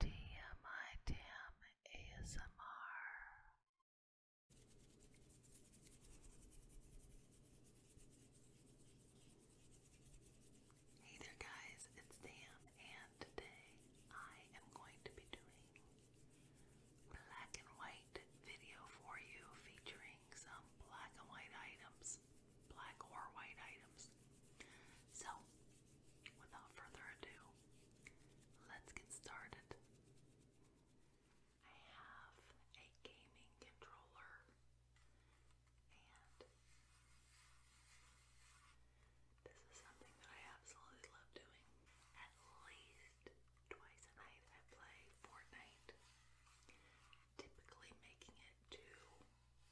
DMIDM ASMR. Hey there, guys, it's Dan, and today I am going to be doing black and white video for you featuring some black and white items, black or white items. So, without further ado, let's get started. I have a gaming controller and this is something that I absolutely love doing. At least twice a night I play Fortnite, typically making it to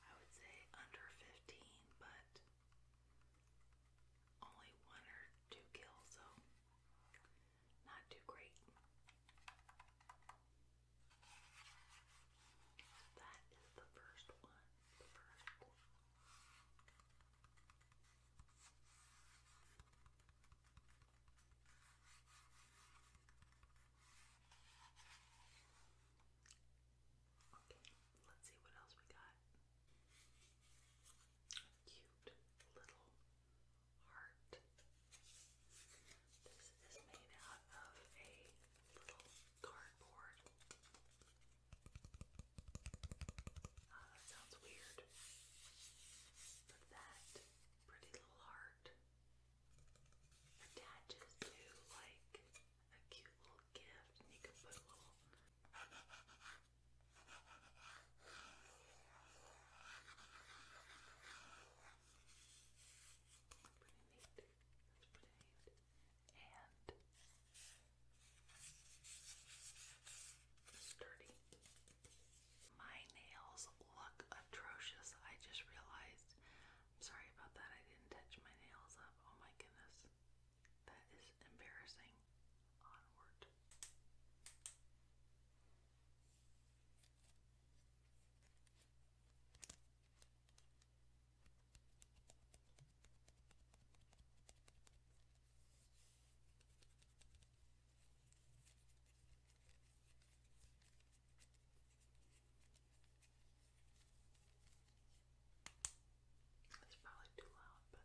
I would say under 15, but only one or two kills, so not too great. That is the first one. Okay, let's see what else we got. cute little heart. This is made out of a little cardboard. Ah, sounds weird. But that pretty little heart attaches to like a cute little gift, you can put a little. Pretty neat. That's pretty neat. And sturdy. My nails look atrocious. I just realized sorry about that. I didn't touch my nails up. Oh my goodness. That is embarrassing. Onward. That's probably too loud, but I like that.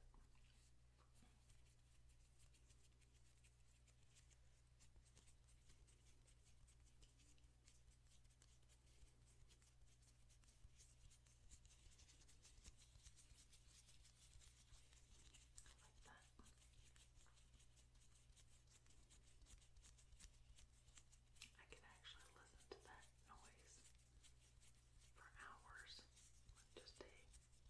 I can actually listen to that noise for hours just a cozy sound.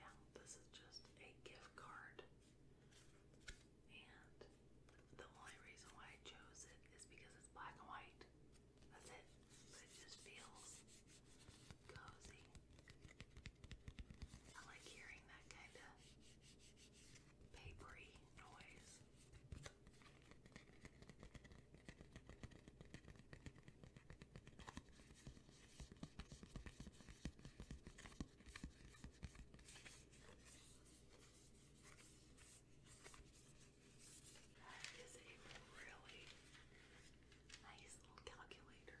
Now, this is just a gift card, and the only reason why I chose it is because it's black and white. That's it. it just feels cozy. I like hearing that kind of papery noise. That is a really nice little calculator.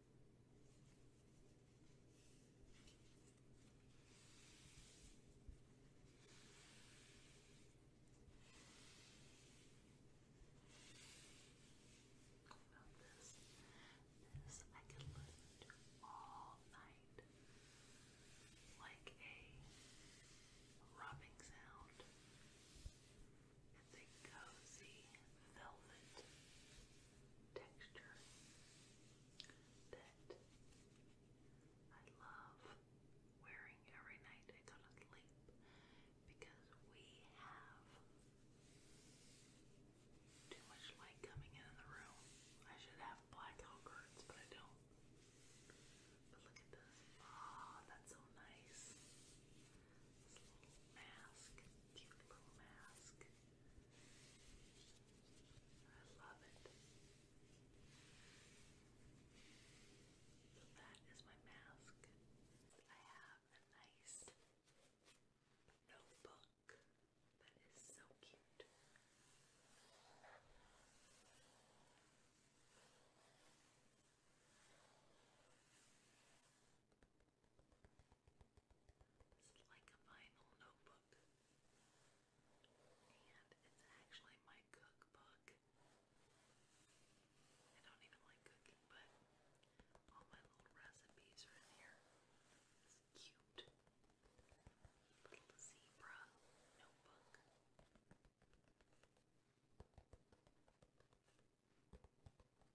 About this, this I can listen to all night, like a rubbing sound. It's a cozy velvet texture that I love wearing every night I go to sleep because we have too much light coming in the room. I should have blackout curtains, but I don't. But look at this. Ah, that's so nice. This little mask, cute little mask. I love it. So that is my mask. I have a nice notebook that is so cute. This is like a vinyl notebook. And it's actually my cookbook. I don't even like cooking, but all my little recipes are in here. It's cute. Little zebra notebook.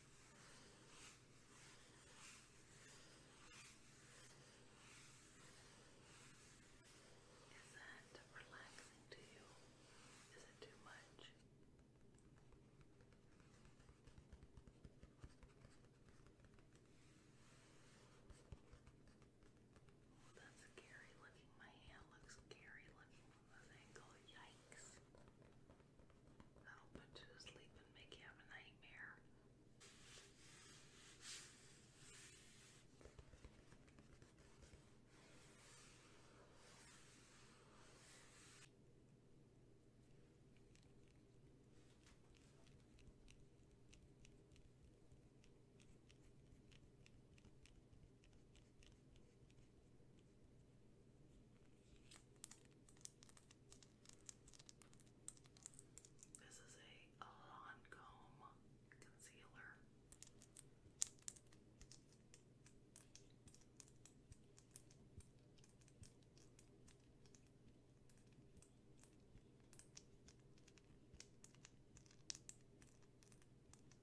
Is that relaxing to you? Is it too much? that's scary looking. My hand looks scary looking and yikes. That'll put you to sleep and make you have a nightmare. This is a Lancome concealer.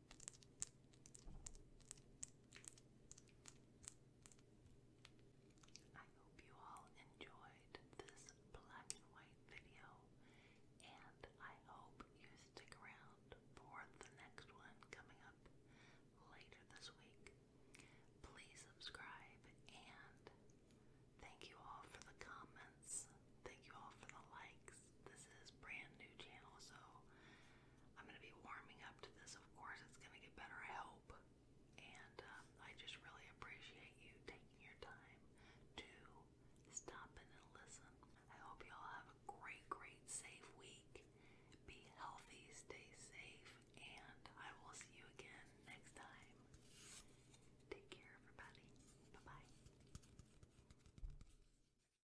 I hope you all enjoyed this black and white video, and I hope you stick around for the next one coming up later this week. Please subscribe, and thank you all for the comments. Thank you all for the likes this is brand new channel, so I'm gonna be warming up to this. Of course, it's gonna get better, I hope. And um, I just really appreciate you taking your time to stop in and listen. I hope you all have a great, great, safe week. Be healthy, stay safe, and I will see you again next time. Take care, everybody. Bye bye.